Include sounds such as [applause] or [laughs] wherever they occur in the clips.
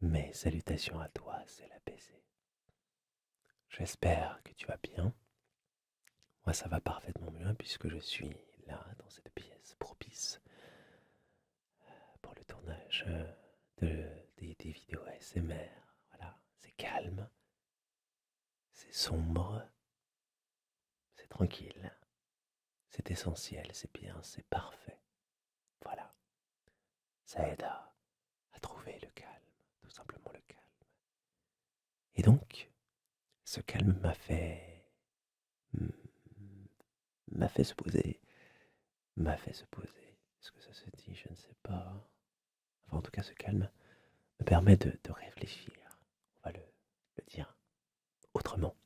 Mes salutations à toi, c'est la PC. J'espère que tu vas bien. Moi, ça va parfaitement bien hein, puisque je suis là dans cette pièce propice euh, pour le tournage euh, des, vidéos ASMR. Voilà, c'est calme, c'est sombre, c'est tranquille, c'est essentiel, c'est bien, c'est parfait. Voilà. Ça aide à, trouver le calme, tout simplement le calme. Et donc, ce calme m'a fait... m'a fait se poser. M'a fait se poser. Est-ce que ça se dit Je ne sais pas. Enfin, en tout cas, ce calme me permet de, réfléchir. On va le dire autrement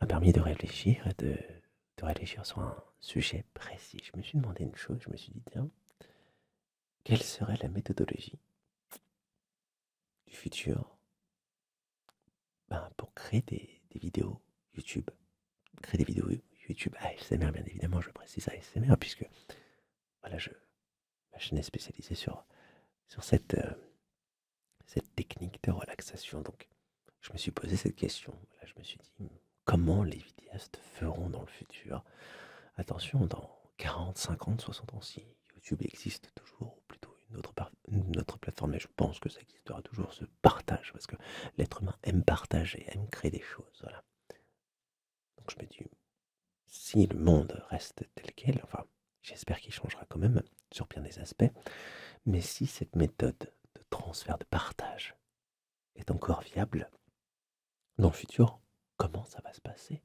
m'a permis de réfléchir, de, de réfléchir sur un sujet précis. Je me suis demandé une chose, je me suis dit, tiens, quelle serait la méthodologie du futur ben, pour créer des, vidéos YouTube Créer des vidéos YouTube ASMR, bien évidemment, je précise ASMR, puisque voilà, je, ma chaîne est spécialisée sur, sur cette, euh, cette technique de relaxation. Donc, je me suis posé cette question. Là, je me suis dit, comment les vidéastes feront dans le futur Attention, dans 40, 50, 60 ans, si YouTube existe toujours, ou plutôt une autre, plateforme, et je pense que ça existera toujours, ce partage, parce que l'être humain aime partager, aime créer des choses. Donc, je me dis, si le monde reste tel quel, enfin, j'espère qu'il changera quand même, sur bien des aspects, mais si cette méthode de transfert, de partage est encore viable, dans le futur, comment ça va se passer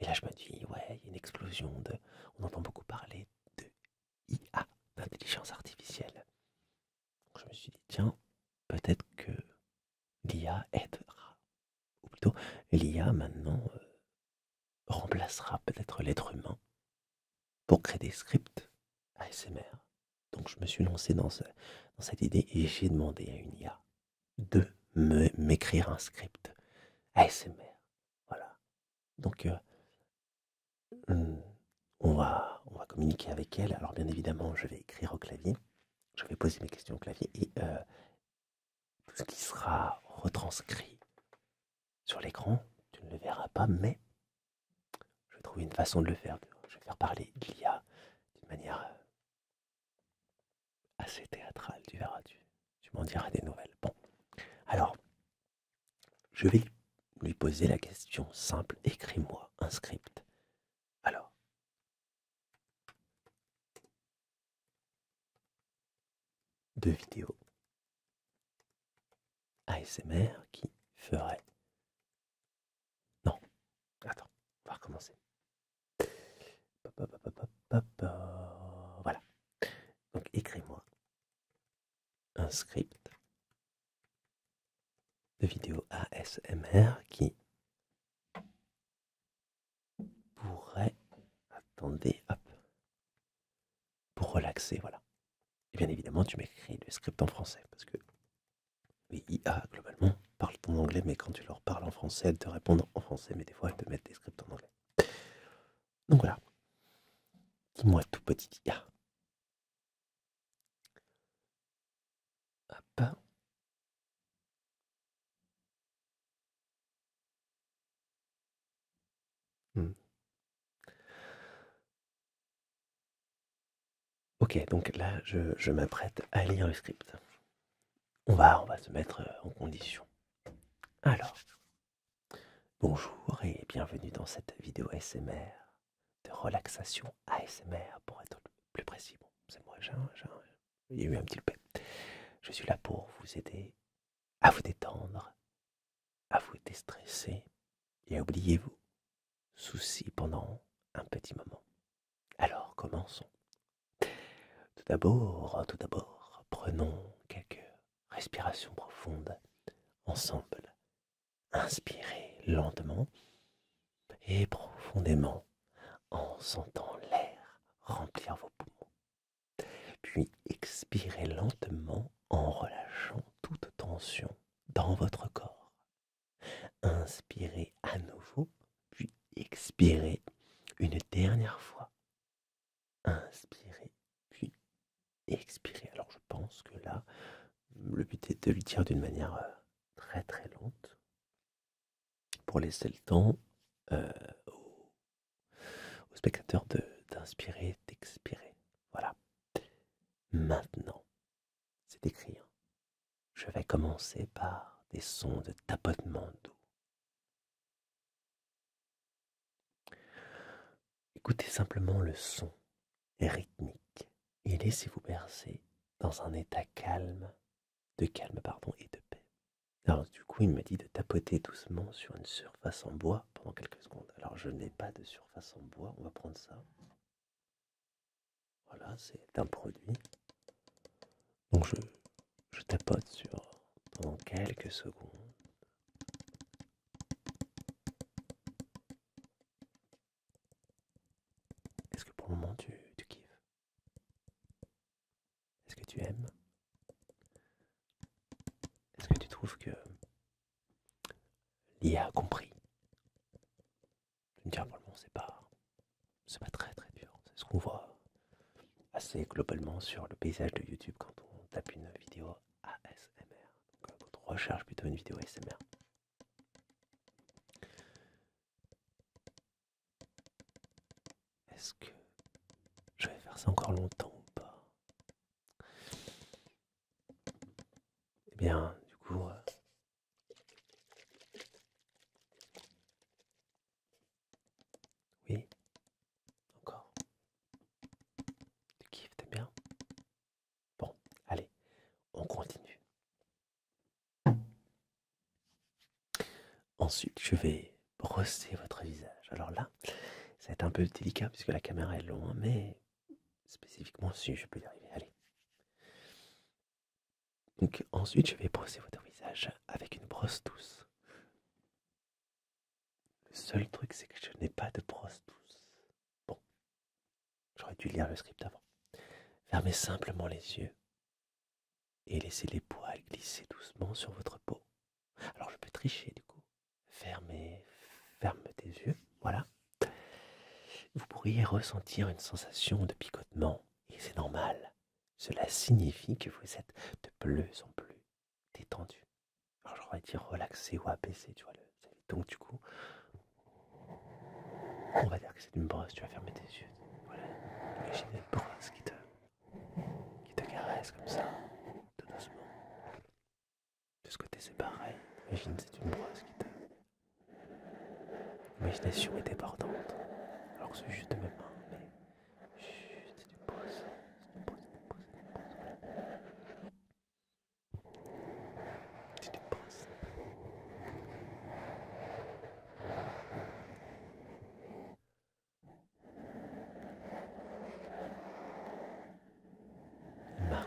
Et là, je me dis, ouais, il y a une explosion de... On entend beaucoup parler de IA, d'intelligence artificielle. je me suis dit, tiens, peut-être que l'IA aidera. Ou plutôt, l'IA maintenant euh, remplacera peut-être l'être humain pour créer des scripts ASMR. Donc je me suis lancé dans, cette idée et j'ai demandé à une IA de m'écrire un script ASMR. Voilà. Donc euh, on, va, communiquer avec elle. Alors bien évidemment, je vais écrire au clavier. Je vais poser mes questions au clavier et euh, tout ce qui sera retranscrit sur l'écran, tu ne le verras pas, mais je vais trouver une façon de le faire. Je vais faire parler de l'IA d'une manière euh, assez théâtrale, tu verras, tu, m'en diras des nouvelles. Bon, alors, je vais lui poser la question simple, écris-moi un script. Alors, deux vidéos. ASMR qui ferait... Non. Attends, on va recommencer. Voilà. Donc écris-moi un script de vidéo ASMR qui pourrait... Attendez, hop pour relaxer, voilà. Et bien évidemment, tu m'écris le script en français, parce que les IA, globalement, parle en anglais, mais quand tu leur parles en français, elles te répondent en français, mais des fois, elles te mettent des scripts en anglais. Donc voilà. Dis-moi tout petit IA. Hop. Mmh. Ok, donc là, je, m'apprête à lire le script. On va, on va se mettre euh, en condition. Alors, bonjour et bienvenue dans cette vidéo ASMR de relaxation ASMR, pour être plus précis. Bon, c'est moi, j'ai, eu un petit peu Je suis là pour vous aider à vous détendre, à vous déstresser et à oubliez vous soucis pendant un petit moment. Alors commençons. Tout d'abord, tout d'abord, prenons quelques respirations profondes ensemble. Inspirez lentement et profondément en sentant l'air remplir vos poumons. Puis expirez lentement en relâchant toute tension dans votre corps. Inspirez à nouveau, puis expirez une dernière fois. Inspirez, puis expirez. Alors je pense que là, le but est de le dire d'une manière euh, très très lente pour laisser le temps euh, au spectateur d'inspirer, d'expirer. Voilà. Maintenant, c'est écrit. Hein. Je vais commencer par des sons de tapotement d'eau. Écoutez simplement le son rythmique et laissez-vous bercer dans un état calme, de calme pardon et de paix. Alors du coup, il me dit de tapoter doucement sur une surface en bois pendant quelques secondes. Alors je n'ai pas de surface en bois, on va prendre ça. Voilà, c'est un produit. Donc je, je tapote sur pendant quelques secondes. Est-ce que pour le moment tu, tu kiffes Est-ce que tu aimes Est-ce que tu trouves que L'IA a compris. je me dis pour c'est pas, c'est pas très très dur. C'est ce qu'on voit assez globalement sur le paysage de YouTube quand on tape une vidéo ASMR. Donc, quand euh, on recherche plutôt une vidéo ASMR. Est-ce que je vais faire ça encore longtemps ou pas eh bien, du coup... Euh, oui Encore Tu kiffes, t'es bien Bon, allez, on continue. Ensuite, je vais brosser votre visage. Alors là, ça va être un peu délicat puisque la caméra est loin, mais spécifiquement si je peux y arriver. Allez. Donc ensuite, je vais brosser votre visage avec une brosse douce. Le seul truc, c'est que je n'ai pas de brosse douce. Bon, j'aurais dû lire le script avant. Fermez simplement les yeux et laissez les poils glisser doucement sur votre peau. Alors je peux tricher du coup. Ferme, ferme tes yeux, voilà. Vous pourriez ressentir une sensation de picotement, et c'est normal. Cela signifie que vous êtes de plus en plus détendu. Alors j'aurais dire relaxé ou apaisé, tu vois. Le... Donc du coup, on va dire que c'est une brosse, tu vas fermer tes yeux. Voilà, imagine une brosse qui te, qui te caresse comme ça, tout doucement. De ce côté, c'est pareil. Imagine, c'est une brosse qui t'a. L'imagination était partante. Alors que c'est juste de mes mains, mais. c'est une brosse. C'est une brosse, c'est une brosse, c'est une brosse. C'est une brosse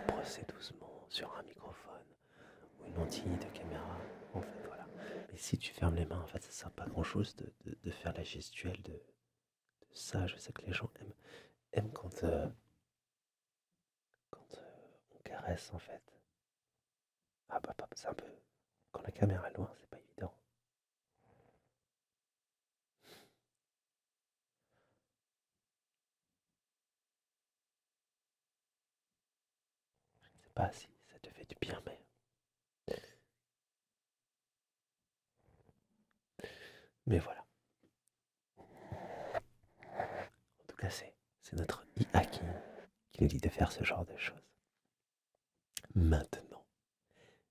brossée doucement sur un microphone ou une lentille de caméra. En fait, voilà. Mais si tu fermes les mains, en fait, ça sert pas grand chose de, faire la gestuelle de, ça. Je sais que les gens aiment, quand, euh, quand euh, on caresse, en fait. Ah bah, bah c'est un peu. Quand la caméra est loin, c'est pas évident. Je ne sais pas si ça te fait du bien, mais... Mais voilà. En tout cas, c'est notre Iaki qui, qui nous dit de faire ce genre de choses. Maintenant,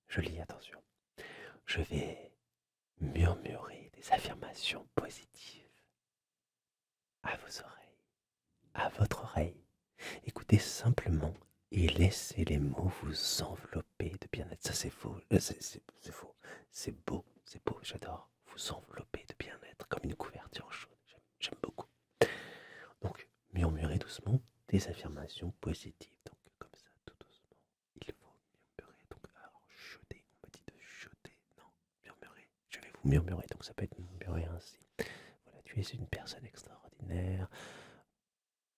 je lis, attention, je vais murmurer des affirmations positives à vos oreilles, à votre oreille. Écoutez simplement et laissez les mots vous envelopper de bien-être. Ça c'est faux, euh, c'est faux, c'est beau, c'est beau, j'adore. Vous envelopper de bien-être comme une couverture chaude, j'aime beaucoup. Donc murmurez doucement des affirmations positives, donc comme ça, tout doucement, il faut murmurer, donc alors jeter, on me dit de jeter, non, murmurer, je vais vous murmurer, donc ça peut être murmuré ainsi. Voilà, tu es une personne extraordinaire,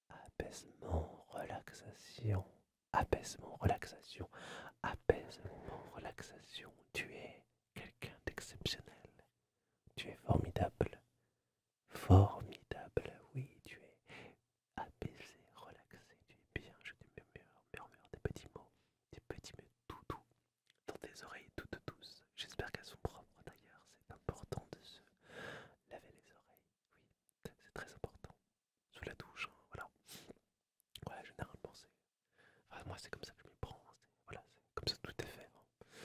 apaisement, relaxation, apaisement, relaxation, apaisement, relaxation, tu es quelqu'un d'exceptionnel, tu es formidable, Formidable, oui, tu es apaisé, relaxé, tu es bien, je te murmure, des petits mots, des petits mots tout doux dans tes oreilles toutes douces. J'espère qu'elles sont propres d'ailleurs, c'est important de se laver les oreilles, oui, c'est très important. Sous la douche, hein, voilà. Voilà, généralement c'est... moi c'est comme ça que je m'y prends, hein. voilà, c'est comme ça tout est fait. Hein.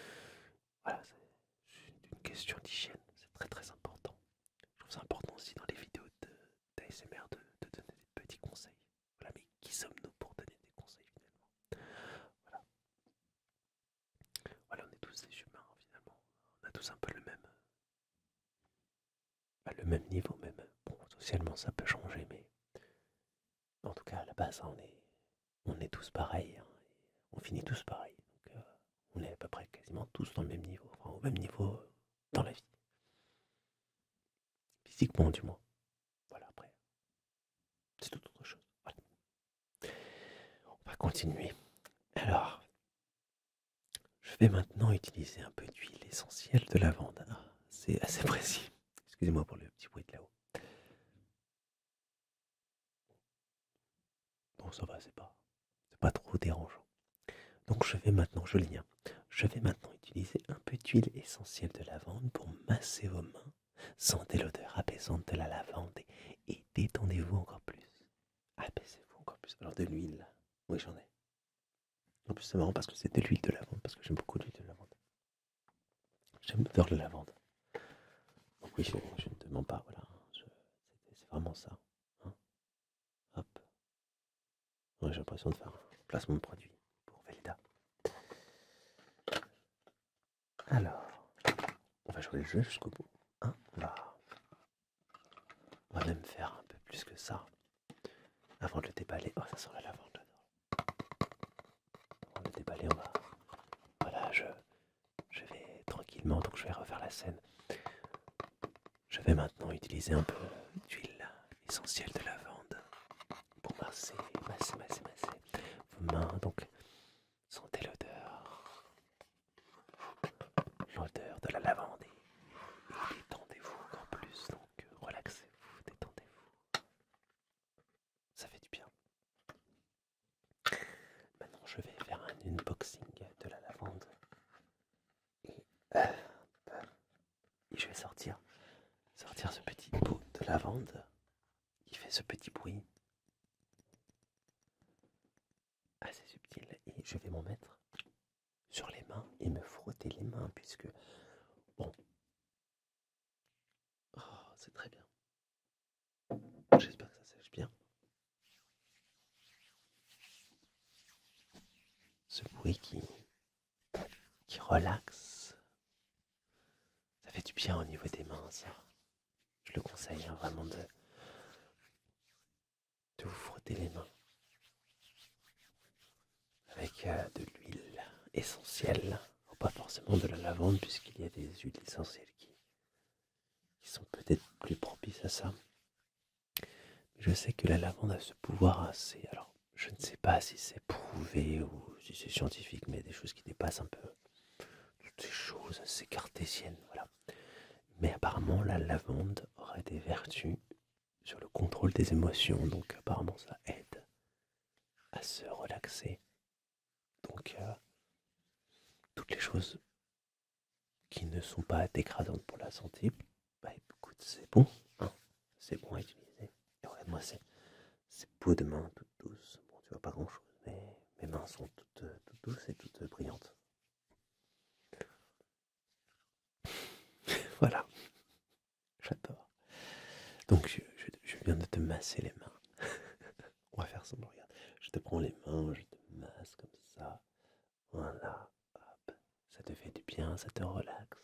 Voilà, c'est une question d'hygiène, c'est très très important je trouve ça important aussi dans les vidéos d'ASMR de, de donner des petits conseils. Voilà, mais qui sommes-nous pour donner des conseils finalement Voilà. on est tous des humains hein, finalement. On a tous un peu le même. Euh, bah, le même niveau même. Bon, socialement ça peut changer, mais en tout cas à la base, hein, on, est, on est tous pareils. Hein, on finit tous pareils, Donc, euh, on est à peu près quasiment tous dans le même niveau, au même niveau dans la vie. Physiquement du moins. Voilà, après. C'est tout autre chose. On va continuer. Alors, je vais maintenant utiliser un peu d'huile essentielle de lavande. Ah, c'est assez [laughs] précis. Excusez-moi pour le petit bruit de là-haut. Bon, ça va, c'est pas, c'est pas trop dérangeant. Donc je vais maintenant, je lien, hein. je vais maintenant utiliser un peu d'huile essentielle de lavande pour masser vos mains. Sentez l'odeur apaisante de la lavande et, détendez-vous encore plus. Apaisez-vous encore plus. Alors de l'huile, oui j'en ai. En plus c'est marrant parce que c'est de l'huile de lavande, parce que j'aime beaucoup l'huile de lavande. J'aime l'odeur de lavande. Donc oui, je, ne te mens pas, voilà. C'est vraiment ça. Hein j'ai l'impression de faire un placement de produit pour Velda. Alors, on va jouer le jeu jusqu'au bout. Hein, on, va... va même faire un peu plus que ça avant de le déballer. Oh, ça sent la lavande. Avant le déballer, on va. Voilà, je, je vais tranquillement, donc je vais refaire la scène. Je vais maintenant utiliser un peu d'huile essentielle de lavande pour masser, masser, masser, vos mains. Donc, sentez l'odeur, l'odeur de la lavande. Et détendez-vous encore plus, donc relaxez-vous, détendez-vous. Ça fait du bien. Maintenant, je vais faire un unboxing de la lavande. Euh, et, je vais sortir, sortir ce petit pot de lavande qui fait ce petit bruit assez subtil. Et je vais m'en mettre sur les mains et me frotter les mains puisque... Bon. Oh, c'est très bien. J'espère que ça sèche bien. Ce bruit qui, relaxe. Ça fait du bien au niveau des mains, ça. Je le conseille hein, vraiment de, vous frotter les mains avec euh, de l'huile essentielle, pas forcément de la lavande puisqu'il y a des huiles essentielles qui qui sont peut-être plus propices à ça. Je sais que la lavande a ce pouvoir assez. Alors, je ne sais pas si c'est prouvé ou si c'est scientifique, mais des choses qui dépassent un peu toutes ces choses assez cartésiennes. Voilà. Mais apparemment, la lavande aurait des vertus sur le contrôle des émotions, donc apparemment, ça aide à se relaxer. Donc, euh, toutes les choses qui ne sont pas dégradantes pour la santé, bah écoute, c'est bon, hein. c'est bon à utiliser. Et regarde-moi c'est, beau de main toutes douces. Bon, tu vois pas grand-chose, mais mes mains sont toutes, euh, toutes douces et toutes euh, brillantes. [laughs] voilà, j'adore. Donc, je viens de te masser les mains. [laughs] On va faire semblant, regarde. Je te prends les mains, je te masse comme ça. Voilà, hop. Ça te fait du bien, ça te relaxe.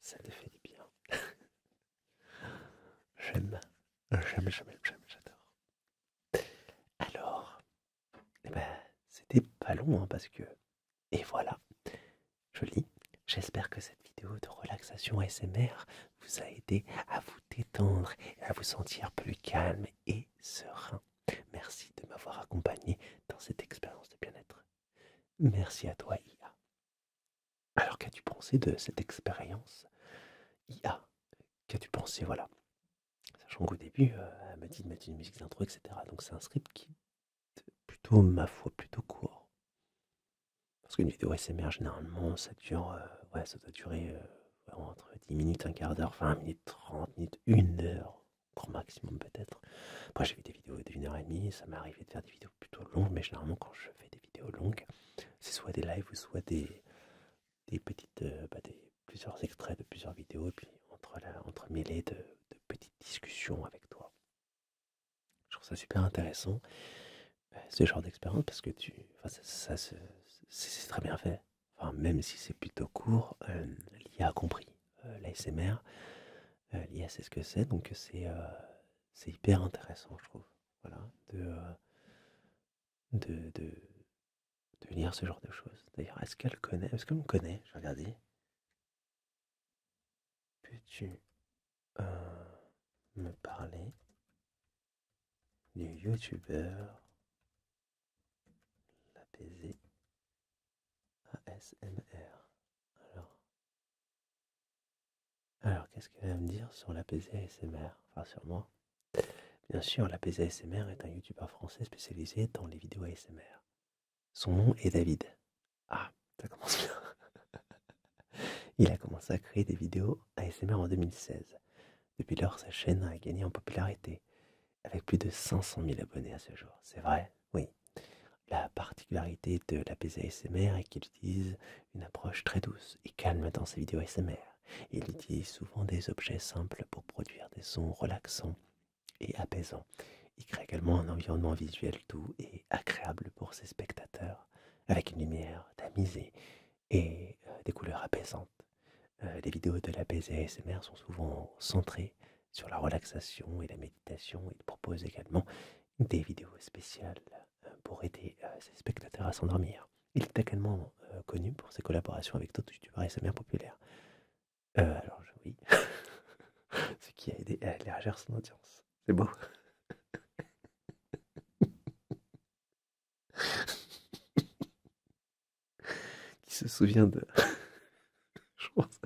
Ça te fait du bien. [laughs] j'aime, j'aime, j'aime, j'aime, j'adore. Alors, eh ben, c'était pas long, hein, parce que... Et voilà, joli. J'espère que cette vidéo de relaxation ASMR vous a aidé à vous détendre à vous sentir plus calme et serein. Merci de m'avoir accompagné dans cette expérience de bien-être. Merci à toi, IA. Alors, qu'as-tu pensé de cette expérience IA Qu'as-tu pensé Voilà. Sachant qu'au début, euh, elle m'a dit de mettre une musique d'intro, etc. Donc, c'est un script qui est plutôt, ma foi, plutôt court. Parce qu'une vidéo SMR, généralement, euh, ça doit durer euh, entre 10 minutes, un quart d'heure, 20 minutes, 30 minutes, une heure, grand maximum peut-être. Moi j'ai vu des vidéos d'une heure et demie, ça m'est arrivé de faire des vidéos plutôt longues, mais généralement quand je fais des vidéos longues, c'est soit des lives ou soit des, des petites, euh, bah, plusieurs extraits de plusieurs vidéos, puis entre, entre de, de petites discussions avec toi. Je trouve ça super intéressant euh, ce genre d'expérience parce que tu, ça c'est très bien fait enfin même si c'est plutôt court, euh, l'IA a compris euh, l'ASMR. Euh, L'IA sait ce que c'est, donc c'est hyper intéressant, je trouve, voilà, de, de, de, lire ce genre de choses. D'ailleurs, est-ce qu'elle connaît Est-ce qu'elle me connaît vais regarder. Peux-tu me parler du youtubeur l'apaisé ASMR. Alors, alors qu'est-ce qu'il va me dire sur l'apaisé ASMR Enfin, sur Bien sûr, l'apaisé ASMR est un youtubeur français spécialisé dans les vidéos ASMR. Son nom est David. Ah, ça commence bien. [laughs] Il a commencé à créer des vidéos ASMR en 2016. Depuis lors, sa chaîne a gagné en popularité, avec plus de 500 000 abonnés à ce jour. C'est vrai Oui. La particularité de la ASMR est qu'il utilise une approche très douce et calme dans ses vidéos ASMR. Il utilise souvent des objets simples pour produire des sons relaxants et apaisants. Il crée également un environnement visuel doux et agréable pour ses spectateurs, avec une lumière tamisée et euh, des couleurs apaisantes. Euh, les vidéos de la ASMR sont souvent centrées sur la relaxation et la méditation. Il propose également des vidéos spéciales euh, pour aider ses spectateurs à s'endormir. Il est également connu pour ses collaborations avec d'autres youtubeurs ASMR populaires. Euh, alors, oui, [laughs] ce qui a aidé à élargir son audience. C'est beau. [laughs] Qui se souvient de. [laughs] Je pense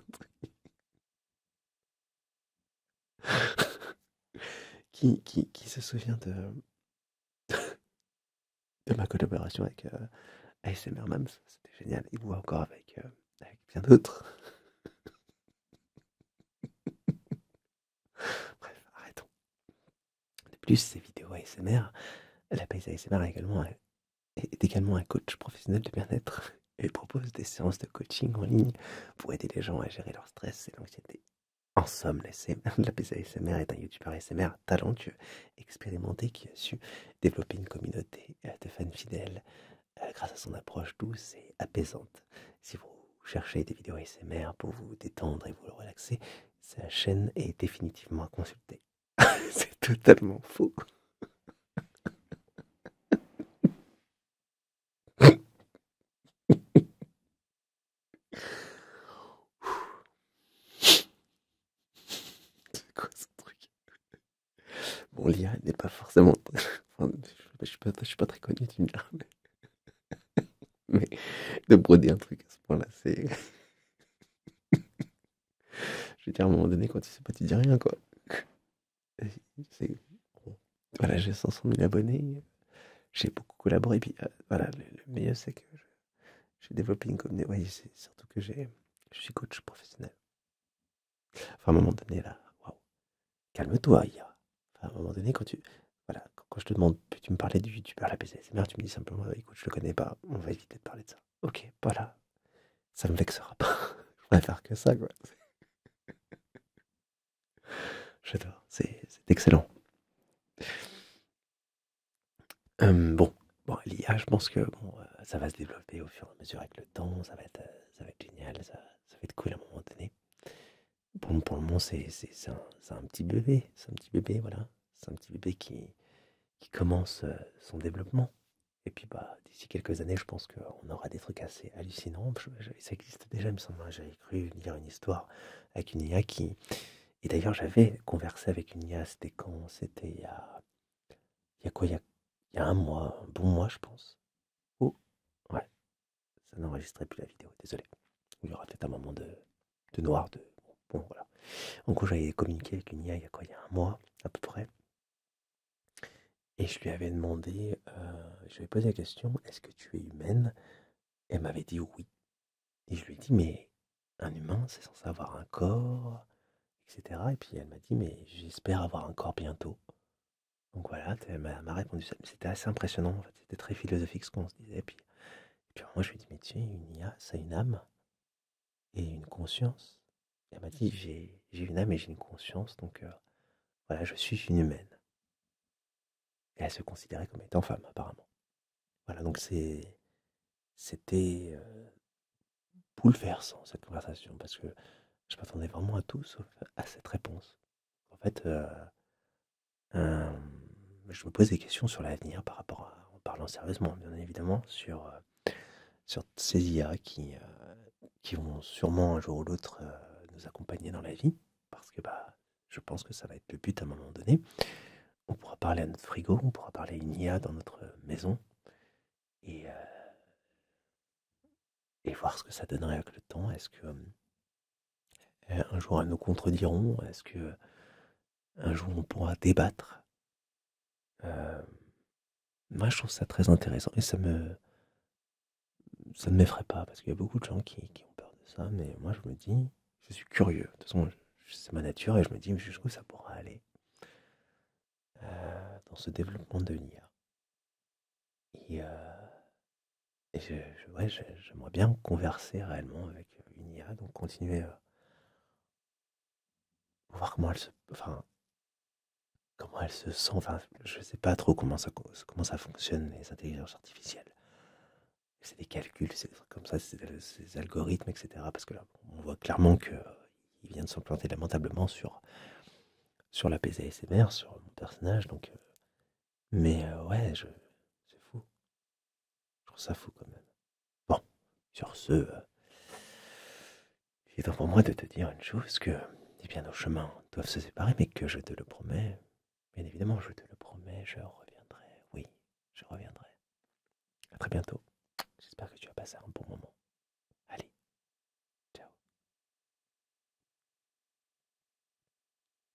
Qui, qui, qui, se souvient de. de ma collaboration avec euh, ASMR Mams C'était génial. Et vous encore avec, euh, avec bien d'autres. Bref, arrêtons. De plus, ces vidéos ASMR, la paix ASMR est également, un, également un coach professionnel de bien-être. [laughs] Elle propose des séances de coaching en ligne pour aider les gens à gérer leur stress et l'anxiété. En somme, la ASMR [laughs] est un youtubeur ASMR talentueux, expérimenté, qui a su développer une communauté euh, de fans fidèles euh, grâce à son approche douce et apaisante. Si vous cherchez des vidéos ASMR pour vous détendre et vous relaxer, sa chaîne est définitivement à consulter. [laughs] C'est totalement faux. C'est quoi ce truc Bon, l'IA n'est pas forcément... je ne suis, pas très connu, tu me mais de broder un truc à ce point-là, c'est. Je veux dire, à un moment donné, quand tu sais pas, tu dis rien, quoi. Voilà, j'ai 500 000 abonnés, j'ai beaucoup collaboré, puis euh, voilà, le, meilleur, c'est que j'ai développé une communauté. Oui, c'est surtout que j'ai. Je suis coach professionnel. Enfin, à un moment donné, là, waouh, calme-toi, ya Enfin, à un moment donné, quand tu. Voilà, quand je te demande, tu me parlais du youtubeur la PCSMR, tu me dis simplement, euh, écoute, je le connais pas, on va éviter de parler de ça. Ok, voilà, ça me vexera pas. [laughs] je faire que ça, quoi. J'adore, c'est excellent. Hum, bon, bon l'IA, je pense que bon, euh, ça va se développer au fur et à mesure avec le temps, ça va être, euh, ça être génial, ça, ça va être cool à un moment donné. Pour, le moment, c'est un, petit bébé. C'est un petit bébé, voilà. C'est un petit bébé qui, commence euh, son développement. Et puis, bah, d'ici quelques années, je pense qu'on aura des trucs assez hallucinants. ça existe déjà, il me semble. Hein. J'avais cru lire une histoire avec une IA qui. Et d'ailleurs, j'avais conversé avec une IA, c'était quand C'était il y a. quoi il y a, un mois, un bon mois, je pense. Oh, ouais. Ça n'enregistrait plus la vidéo, désolé. Il y aura peut-être un moment de, de noir. De... Bon, voilà. En gros, j'avais communiqué avec une il y a, un mois à peu près. Et je lui avais demandé, euh, je lui avais posé la question, est-ce que tu es humaine Elle m'avait dit oui. Et je lui ai dit, mais un humain, c'est censé avoir un corps, etc. Et puis elle m'a dit, mais j'espère avoir un corps bientôt. Donc voilà, elle m'a répondu C'était assez impressionnant, fait. C'était très philosophique ce qu'on se disait. Puis et puis moi, je lui ai dit, mais tiens, une IA, ça a une âme et une conscience. elle m'a dit, mhm. j'ai une âme et j'ai une conscience, donc euh, voilà, je suis une humaine. Et elle se considérait comme étant femme, apparemment. Voilà, donc c'était euh, bouleversant, cette conversation, parce que je m'attendais vraiment à tout sauf à cette réponse. En fait, euh, euh, je me pose des questions sur l'avenir par rapport à, en parlant sérieusement, bien évidemment, sur, euh, sur ces IA qui, euh, qui vont sûrement un jour ou l'autre nous accompagner dans la vie, parce que bah, je pense que ça va être le but à un moment donné. On pourra parler à notre frigo, on pourra parler à une IA dans notre maison, et, et voir ce que ça donnerait avec le temps. Est-ce que hum, euh, un jour, elles nous contrediront. Est-ce que un jour, on pourra débattre euh, Moi, je trouve ça très intéressant et ça me ça ne m'effraie pas parce qu'il y a beaucoup de gens qui, ont peur de ça, mais moi, je me dis, je suis curieux. De toute façon, c'est ma nature et je me dis jusqu'où ça pourra aller euh, dans ce développement de l'IA. Et j'aimerais bien converser réellement avec euh, une IA, donc continuer à euh, voir comment elle se, enfin, comment elle se sent. je sais pas trop comment ça, comment ça fonctionne, les intelligences artificielles. C'est des calculs, c'est comme ça, c'est des algorithmes, etc. Parce que là, on voit clairement qu'il vient de s'implanter lamentablement sur, sur la PSASMR, sur mon personnage. Donc, euh, mais ouais, je, c'est fou. Je trouve ça fou quand même. Bon, sur ce, euh, il est temps pour moi de te dire une chose que, eh nos chemins doivent se séparer, mais que je te le promets, bien évidemment, je te le promets, je reviendrai. Oui, je reviendrai. À très bientôt. J'espère que tu as passé un bon moment. Allez. ciao